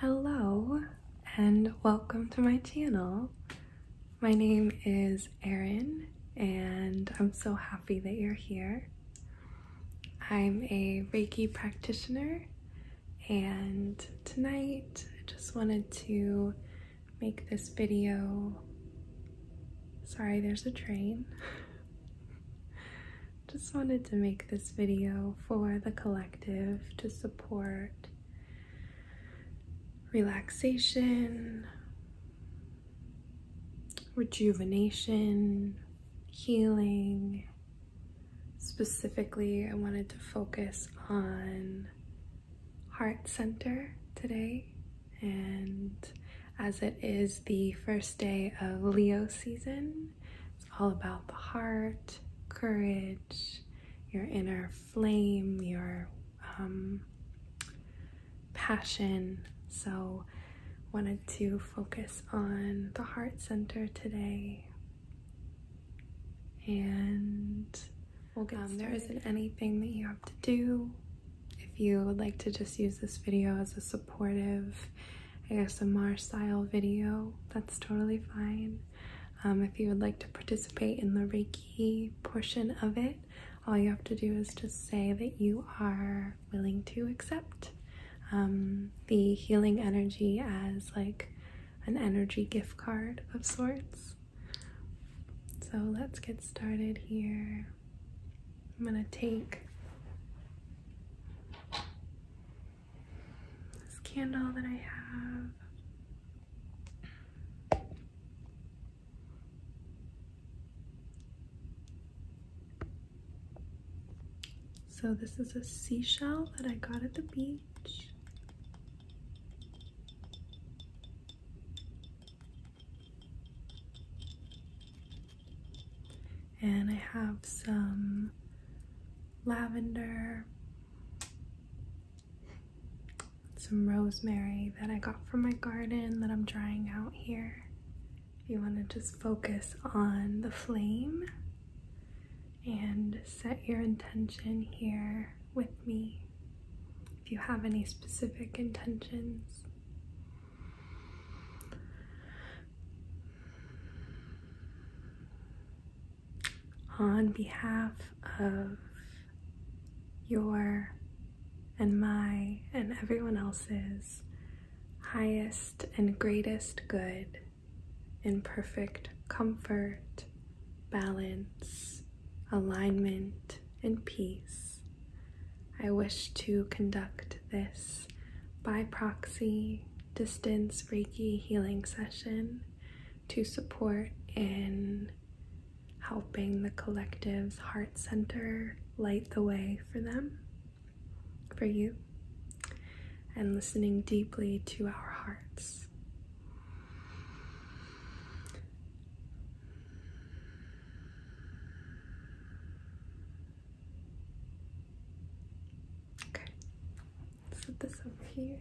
Hello and welcome to my channel. My name is Erin and I'm so happy that you're here. I'm a Reiki practitioner and tonight I just wanted to make this video. Sorry, there's a train. just wanted to make this video for the collective to support relaxation, rejuvenation, healing. Specifically, I wanted to focus on heart center today and as it is the first day of Leo season, it's all about the heart, courage, your inner flame, your um, passion. So, wanted to focus on the heart center today. And we'll get um, there isn't anything that you have to do. If you would like to just use this video as a supportive I guess ASMR style video, that's totally fine. Um, if you would like to participate in the Reiki portion of it, all you have to do is just say that you are willing to accept um, the healing energy as like an energy gift card of sorts. So let's get started here. I'm gonna take this candle that I have. So this is a seashell that I got at the beach. And I have some lavender, some rosemary that I got from my garden that I'm drying out here. If You want to just focus on the flame and set your intention here with me. If you have any specific intentions, on behalf of your and my and everyone else's highest and greatest good in perfect comfort, balance, alignment, and peace. I wish to conduct this by proxy distance Reiki healing session to support in helping the collective's heart center light the way for them, for you, and listening deeply to our hearts. Okay put this over here.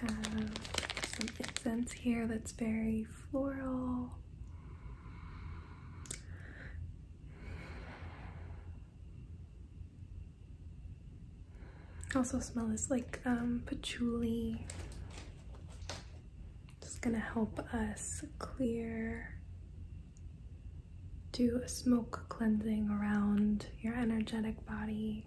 Have some incense here that's very floral. Also smell is like um, patchouli. Just gonna help us clear, do a smoke cleansing around your energetic body.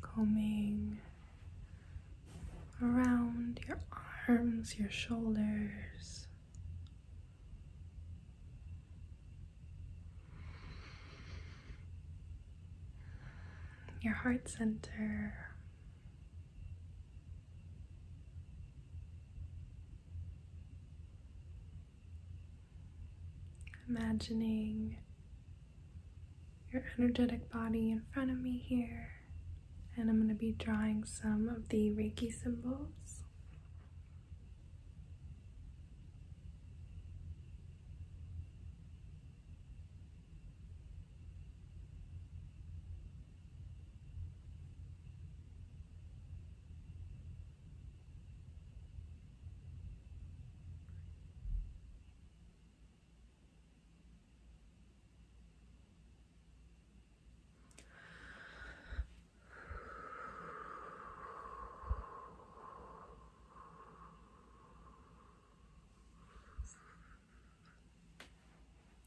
combing around your arms, your shoulders. Your heart center. Imagining your energetic body in front of me here, and I'm going to be drawing some of the Reiki symbols.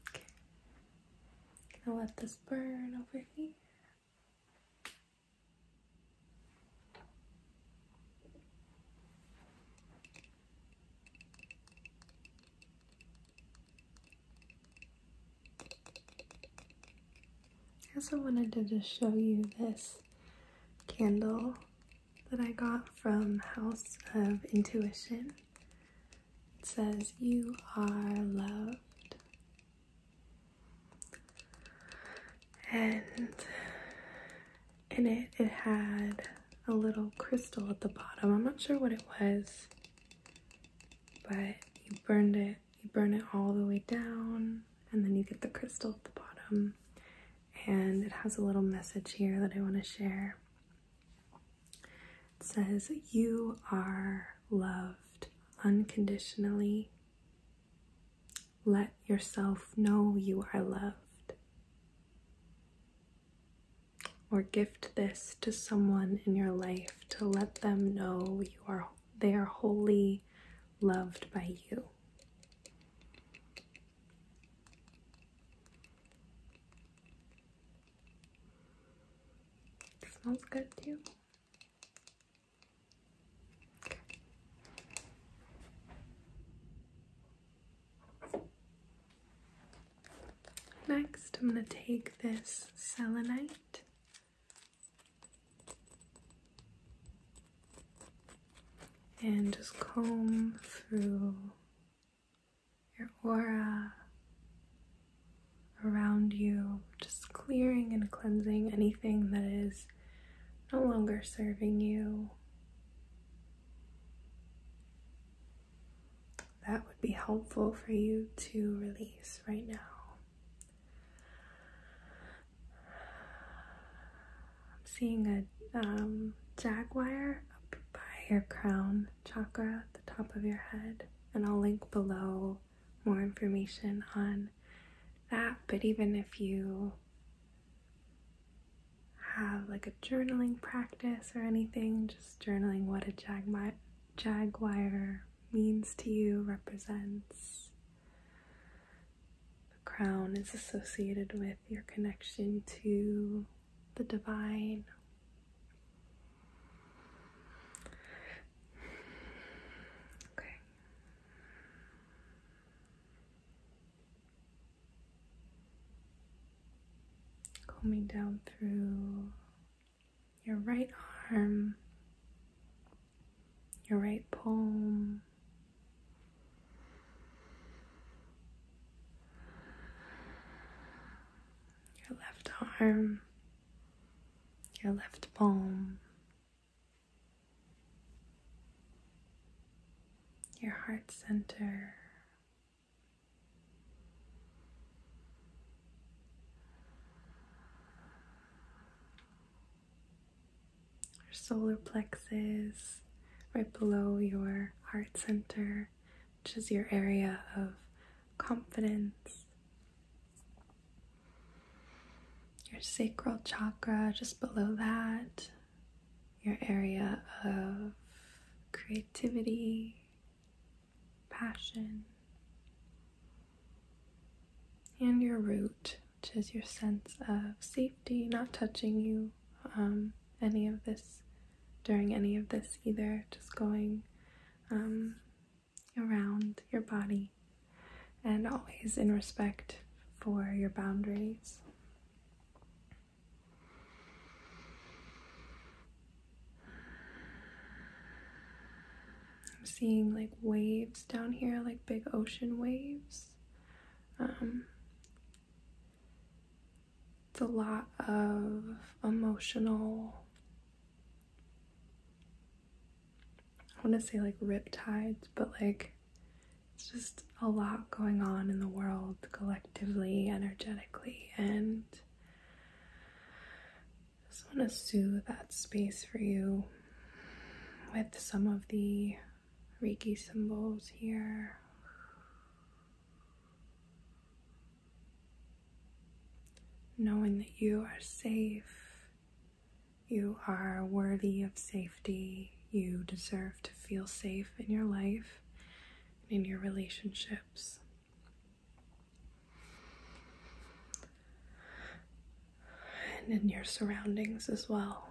Okay. going let this burn over here. I also wanted to just show you this candle that I got from House of Intuition. It says, You are loved. And in it, it had a little crystal at the bottom. I'm not sure what it was, but you burned it, you burn it all the way down, and then you get the crystal at the bottom. And it has a little message here that I want to share. It says, You are loved unconditionally. Let yourself know you are loved. Or gift this to someone in your life to let them know you are they are wholly loved by you. smells good to Next, I'm going to take this selenite. And just comb through your aura around you, just clearing and cleansing anything that is no longer serving you, that would be helpful for you to release right now. I'm seeing a um, jaguar up by your crown chakra the top of your head, and I'll link below more information on that. But even if you have like a journaling practice or anything, just journaling what a jaguar means to you, represents. The crown is associated with your connection to the divine. Okay combing down through your right arm, your right palm. Your left arm, your left palm, your heart center. Your solar plexus, right below your heart center, which is your area of confidence. Your sacral chakra, just below that, your area of creativity, passion, and your root, which is your sense of safety, not touching you um, any of this during any of this either, just going um, around your body and always in respect for your boundaries. I'm seeing like waves down here, like big ocean waves. Um, it's a lot of emotional, I want to say like riptides, but like it's just a lot going on in the world collectively, energetically, and I just want to soothe that space for you with some of the Reiki symbols here. Knowing that you are safe, you are worthy of safety. You deserve to feel safe in your life and in your relationships. And in your surroundings as well.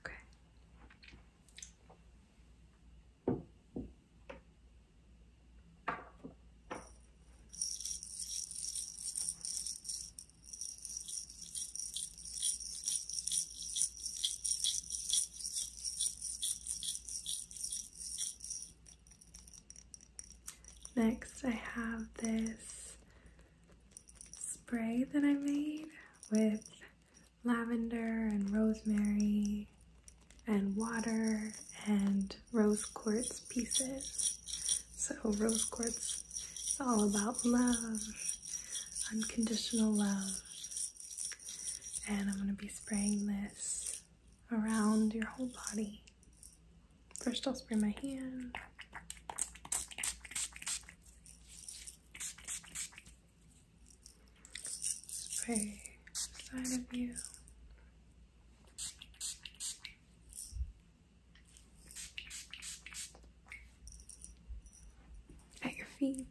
Okay. Next, I have this spray that I made with lavender and rosemary and water and rose quartz pieces. So, rose quartz is all about love, unconditional love. And I'm going to be spraying this around your whole body. First, I'll spray my hand. Spray the side of you. At your feet.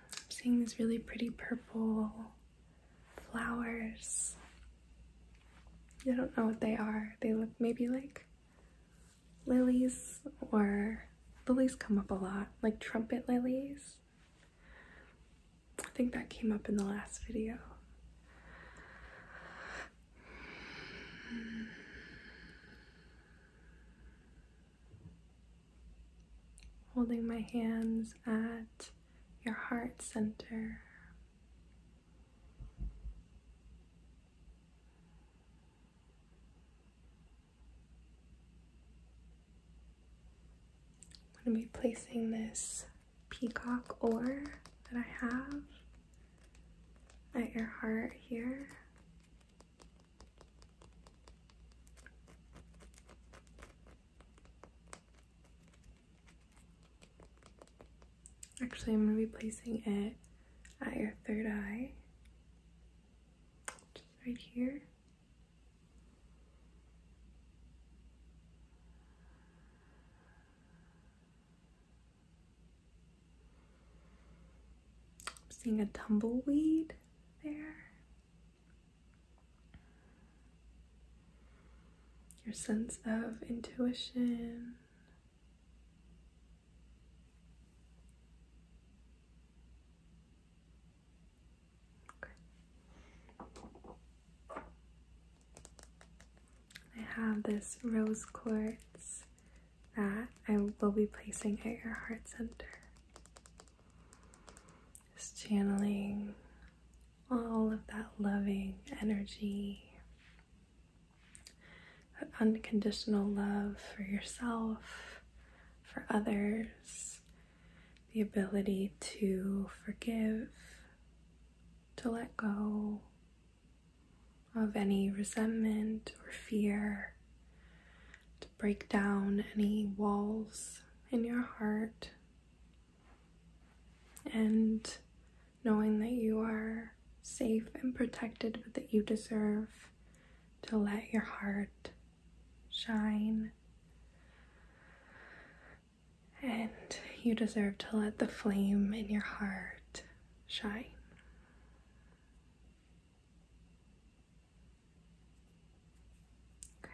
I'm seeing these really pretty purple flowers. I don't know what they are. They look maybe like lilies or lilies come up a lot, like trumpet lilies. I think that came up in the last video. Holding my hands at your heart center. I'm going to be placing this peacock ore that I have at your heart here. Actually, I'm going to be placing it at your third eye, just right here seeing a tumbleweed there. Your sense of intuition. I have this rose quartz that I will be placing at your heart center. It's channeling all of that loving energy, that unconditional love for yourself, for others, the ability to forgive, to let go, of any resentment or fear, to break down any walls in your heart, and knowing that you are safe and protected, but that you deserve to let your heart shine and you deserve to let the flame in your heart shine. Okay,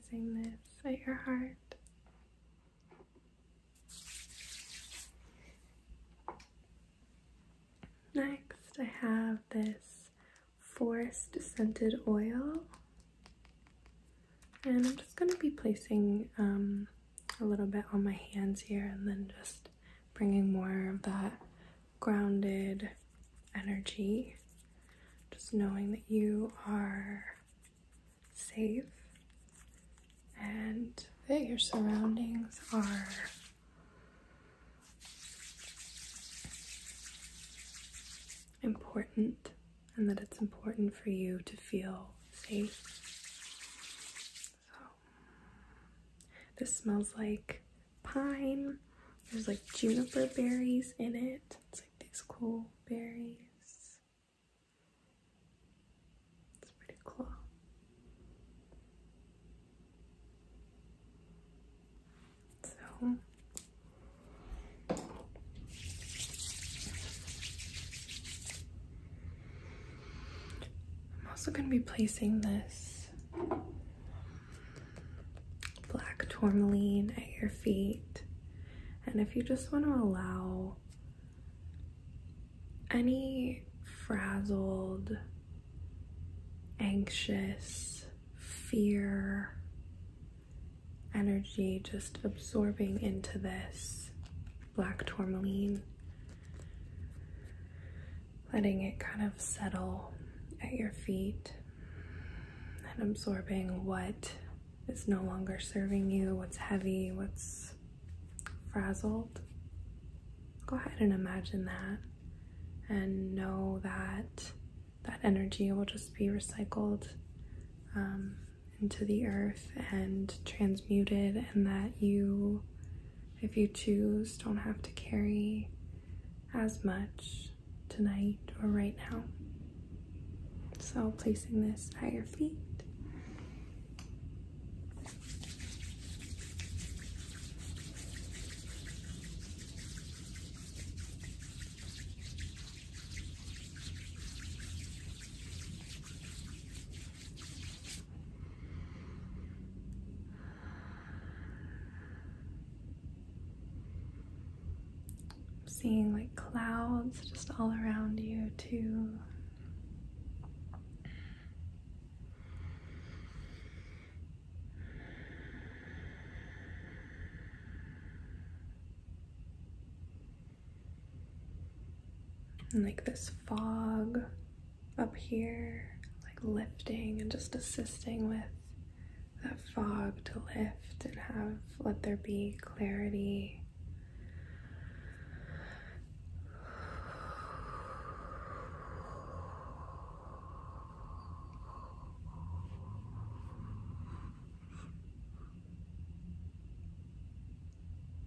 placing this at your heart. Next, I have this forest scented oil. And I'm just going to be placing um, a little bit on my hands here and then just bringing more of that grounded energy. Just knowing that you are safe and that your surroundings are important and that it's important for you to feel safe. this smells like pine. There's like juniper berries in it. It's like these cool berries. It's pretty cool. So, I'm also going to be placing this black tourmaline at your feet. And if you just want to allow any frazzled, anxious, fear energy just absorbing into this black tourmaline, letting it kind of settle at your feet and absorbing what is no longer serving you, what's heavy, what's frazzled. Go ahead and imagine that and know that that energy will just be recycled um, into the earth and transmuted, and that you, if you choose, don't have to carry as much tonight or right now. So, placing this at your feet seeing like clouds just all around you, too. And like this fog up here, like lifting and just assisting with that fog to lift and have let there be clarity.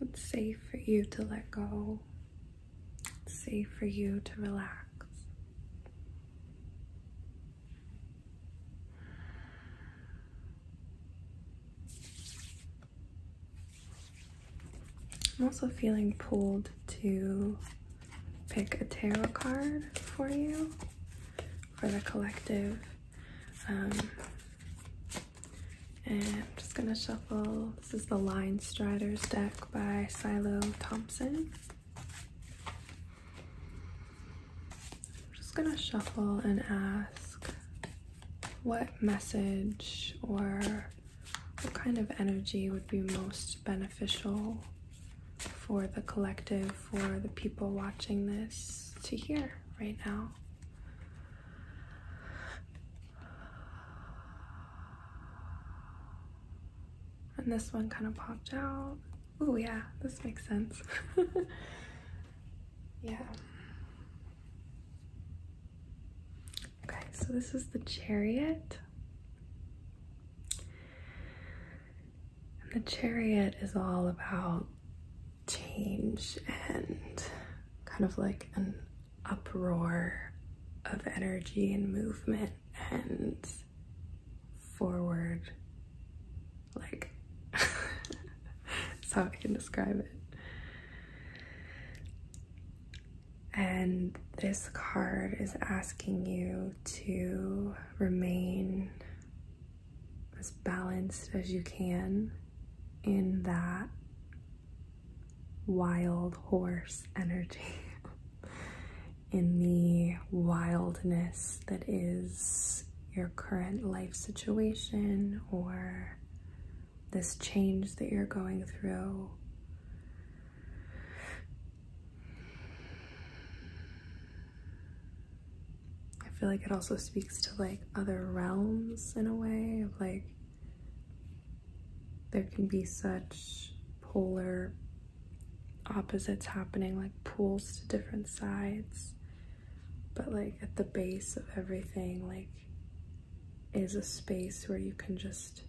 It's safe for you to let go. It's safe for you to relax. I'm also feeling pulled to pick a tarot card for you, for the collective. Um, and I'm just gonna shuffle. This is the Line Striders deck by Silo Thompson. I'm just gonna shuffle and ask what message or what kind of energy would be most beneficial for the collective, for the people watching this to hear right now. And this one kind of popped out. Oh yeah, this makes sense. yeah. Okay, so this is the chariot. And the chariot is all about change and kind of like an uproar of energy and movement and forward like that's how I can describe it. And this card is asking you to remain as balanced as you can in that wild horse energy in the wildness that is your current life situation or this change that you're going through. I feel like it also speaks to like other realms in a way of like there can be such polar opposites happening, like pulls to different sides. But like at the base of everything, like is a space where you can just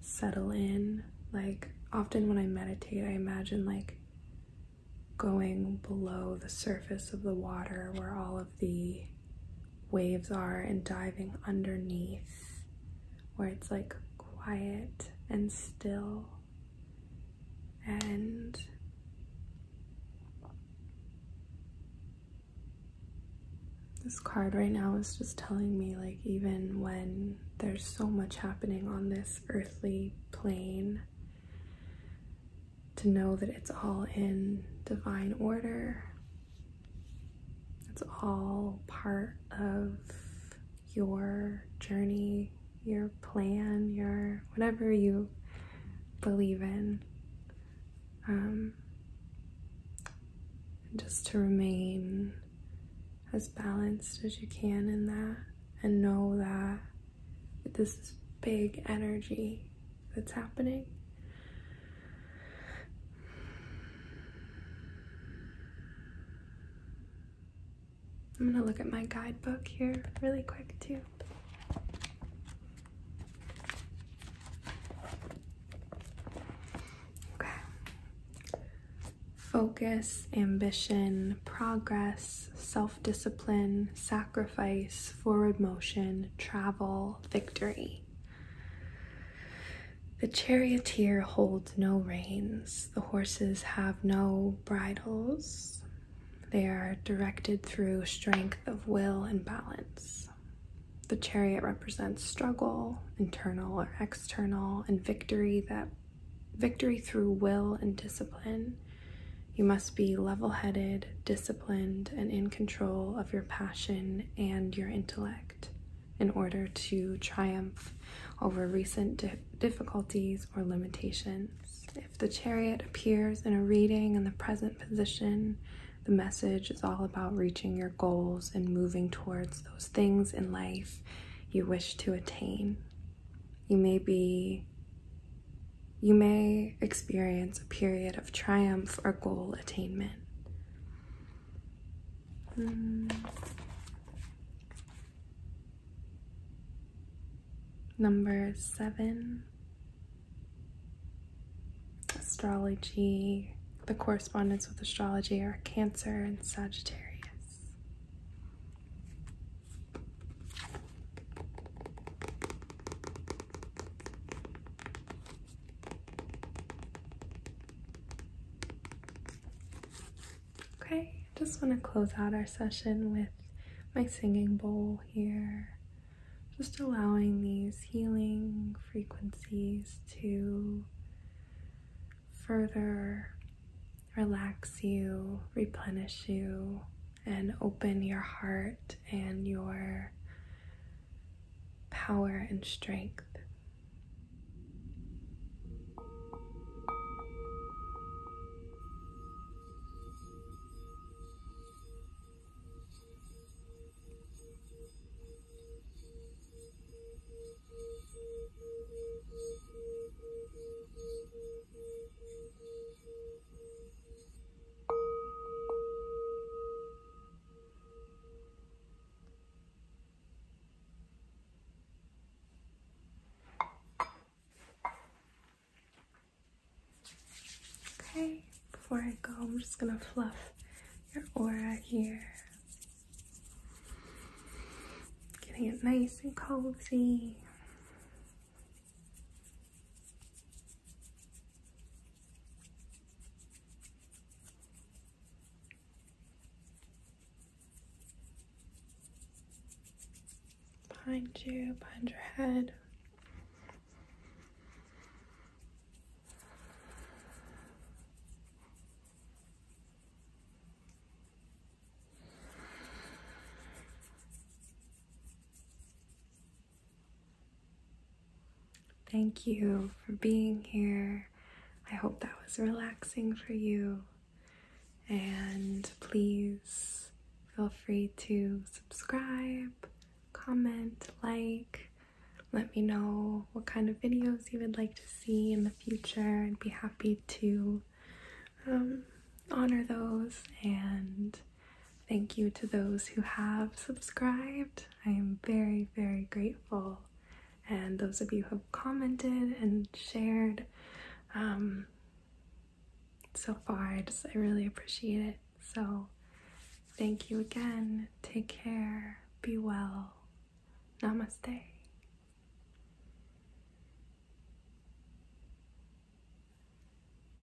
settle in. Like often when I meditate, I imagine like going below the surface of the water where all of the waves are and diving underneath where it's like quiet and still and this card right now is just telling me like even when there's so much happening on this earthly plane to know that it's all in divine order. It's all part of your journey, your plan, your whatever you believe in. Um, just to remain as balanced as you can in that and know that this big energy that's happening. I'm gonna look at my guidebook here really quick too. Okay. Focus, ambition, progress, self discipline, sacrifice sacrifice, forward motion, travel, victory. The charioteer holds no reins, the horses have no bridles. They are directed through strength of will and balance. The chariot represents struggle, internal or external, and victory that victory through will and discipline. You must be level headed, disciplined, and in control of your passion and your intellect in order to triumph over recent difficulties or limitations. If the chariot appears in a reading in the present position, the message is all about reaching your goals and moving towards those things in life you wish to attain. You may be you may experience a period of triumph or goal attainment. Hmm. Number seven, astrology, the correspondence with astrology are Cancer and Sagittarius. Okay, just want to close out our session with my singing bowl here. Just allowing these healing frequencies to further relax you, replenish you, and open your heart and your power and strength. Okay, before I go, I'm just gonna fluff your aura here. Getting it nice and cozy. Behind you, behind your head. Thank you for being here. I hope that was relaxing for you. And please feel free to subscribe, comment, like. Let me know what kind of videos you would like to see in the future. I'd be happy to um, honor those and Thank you to those who have subscribed. I am very, very grateful. And those of you who have commented and shared um, so far, I just I really appreciate it. So thank you again. Take care. Be well. Namaste.